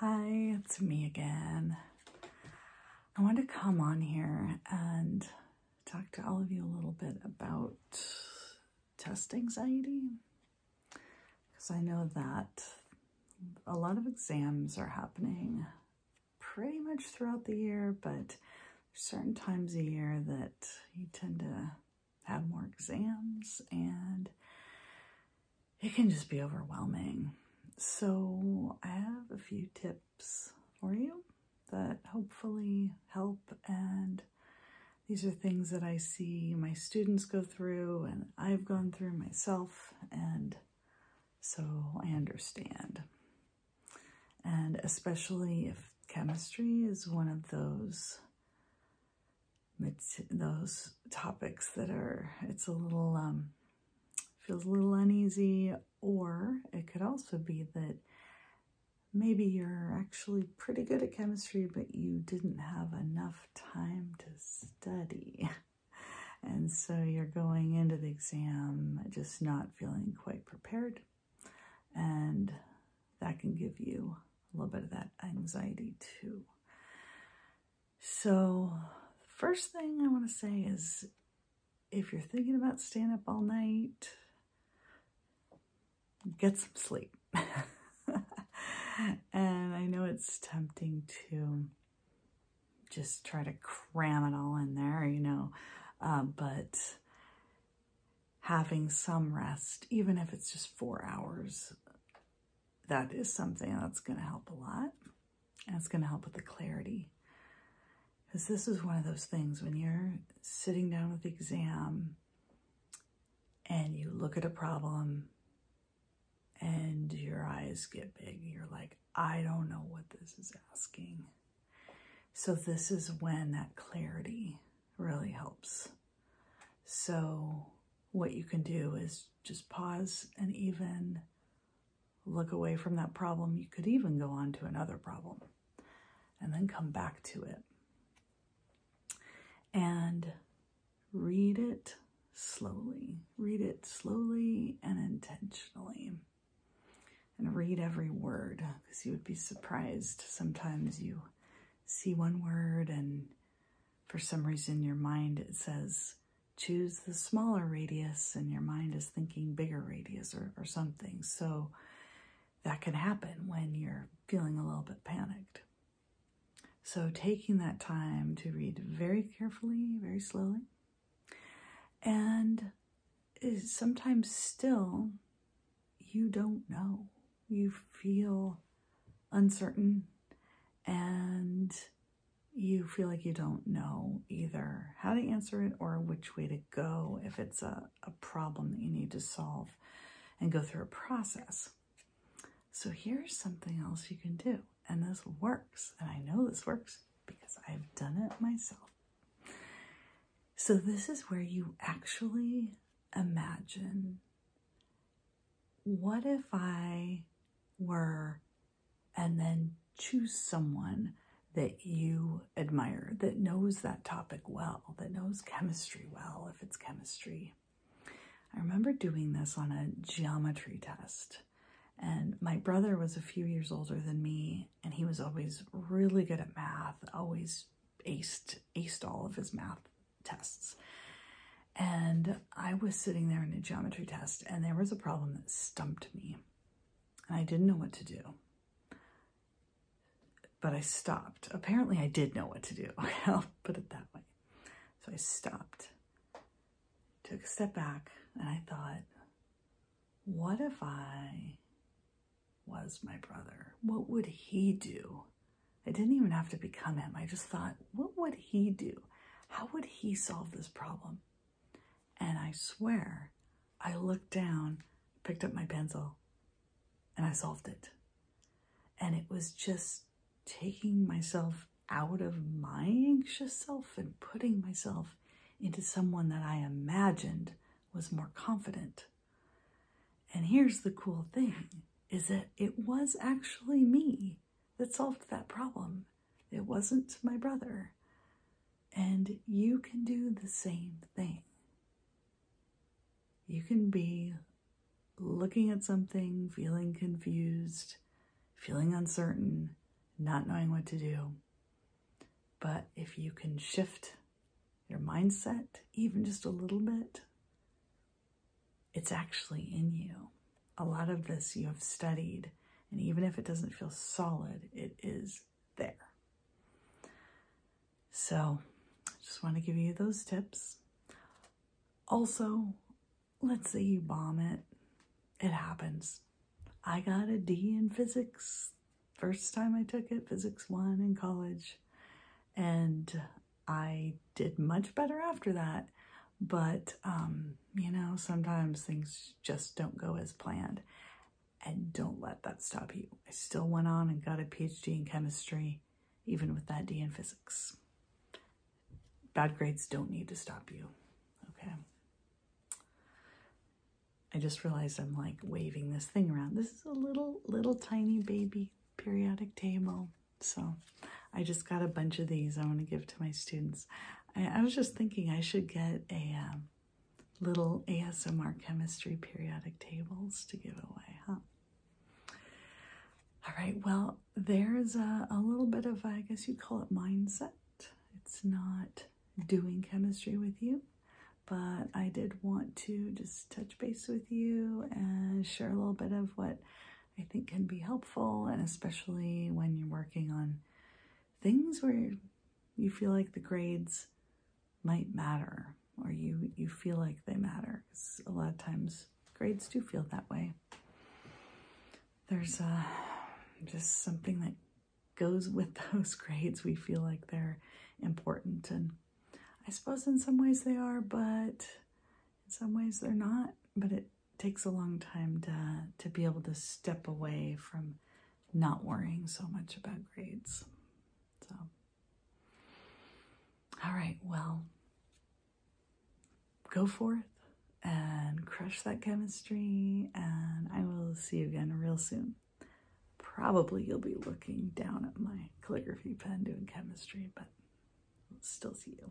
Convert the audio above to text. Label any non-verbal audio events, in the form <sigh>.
Hi, it's me again. I wanted to come on here and talk to all of you a little bit about test anxiety because I know that a lot of exams are happening pretty much throughout the year, but certain times a year that you tend to have more exams and it can just be overwhelming. So I have a few tips for you that hopefully help and these are things that I see my students go through and I've gone through myself and so I understand. And especially if chemistry is one of those those topics that are, it's a little, um, feels a little uneasy, or it could also be that maybe you're actually pretty good at chemistry, but you didn't have enough time to study. <laughs> And so you're going into the exam just not feeling quite prepared. And that can give you a little bit of that anxiety too. So, first thing I want to say is if you're thinking about staying up all night, get some sleep. <laughs> and I know it's tempting to just try to cram it all in there, you know, uh, but having some rest, even if it's just four hours, that is something that's going to help a lot. And it's going to help with the clarity. Because this is one of those things when you're sitting down with the exam and you look at a problem and your eyes get big. You're like, I don't know what this is asking. So this is when that clarity really helps. So what you can do is just pause and even look away from that problem. You could even go on to another problem and then come back to it. And read it slowly. Read it slowly and intentionally and read every word because you would be surprised. Sometimes you see one word and for some reason your mind it says choose the smaller radius and your mind is thinking bigger radius or, something. So that can happen when you're feeling a little bit panicked. So taking that time to read very carefully, very slowly, and sometimes still, you don't know. You feel uncertain and you feel like you don't know either how to answer it or which way to go if it's a, a problem that you need to solve and go through a process. So here's something else you can do. And this works. And I know this works because I've done it myself. So this is where you actually imagine what if I were, and then choose someone that you admire, that knows that topic well, that knows chemistry well, if it's chemistry, I remember doing this on a geometry test, and my brother was a few years older than me, and he was always really good at math, always aced, aced all of his math tests. And I was sitting there in a geometry test, and there was a problem that stumped me, and I didn't know what to do. But I stopped. Apparently, I did know what to do. <laughs> I'll put it that way. So I stopped, took a step back, and I thought, what if I was my brother? What would he do? I didn't even have to become him. I just thought, what would he do? How would he solve this problem? And I swear, I looked down, picked up my pencil, and I solved it. And it was just taking myself out of my anxious self and putting myself into someone that I imagined was more confident. And here's the cool thing is that it was actually me that solved that problem. It wasn't my brother. And you can do the same thing. You can be looking at something, feeling confused, feeling uncertain, not knowing what to do. But if you can shift your mindset, even just a little bit, it's actually in you. A lot of this you have studied, and even if it doesn't feel solid, it is there. So I just want to give you those tips. Also, let's say you bomb it. It happens. I got a D in physics. First time I took it, physics one in college. And I did much better after that. But, um, you know, sometimes things just don't go as planned. And don't let that stop you. I still went on and got a PhD in chemistry, even with that D in physics. Bad grades don't need to stop you, okay? I just realized I'm like waving this thing around. This is a little, little tiny baby periodic table. So I just got a bunch of these I want to give to my students. I, was just thinking I should get a, um, little ASMR chemistry periodic tables to give away, huh? All right, well, there's a, little bit of, I guess you'd call it mindset. It's not doing chemistry with you, but I did want to just touch base with you and share a little bit of what I think can be helpful, and especially when you're working on things where you feel like the grades might matter or you you feel like they matter because a lot of times grades do feel that way there's uh, just something that goes with <laughs> those grades we feel like they're important and i suppose in some ways they are but in some ways they're not but it takes a long time to to be able to step away from not worrying so much about grades. So all right, well, go forth and crush that chemistry, and I will see you again real soon. Probably you'll be looking down at my calligraphy pen doing chemistry, but still see you.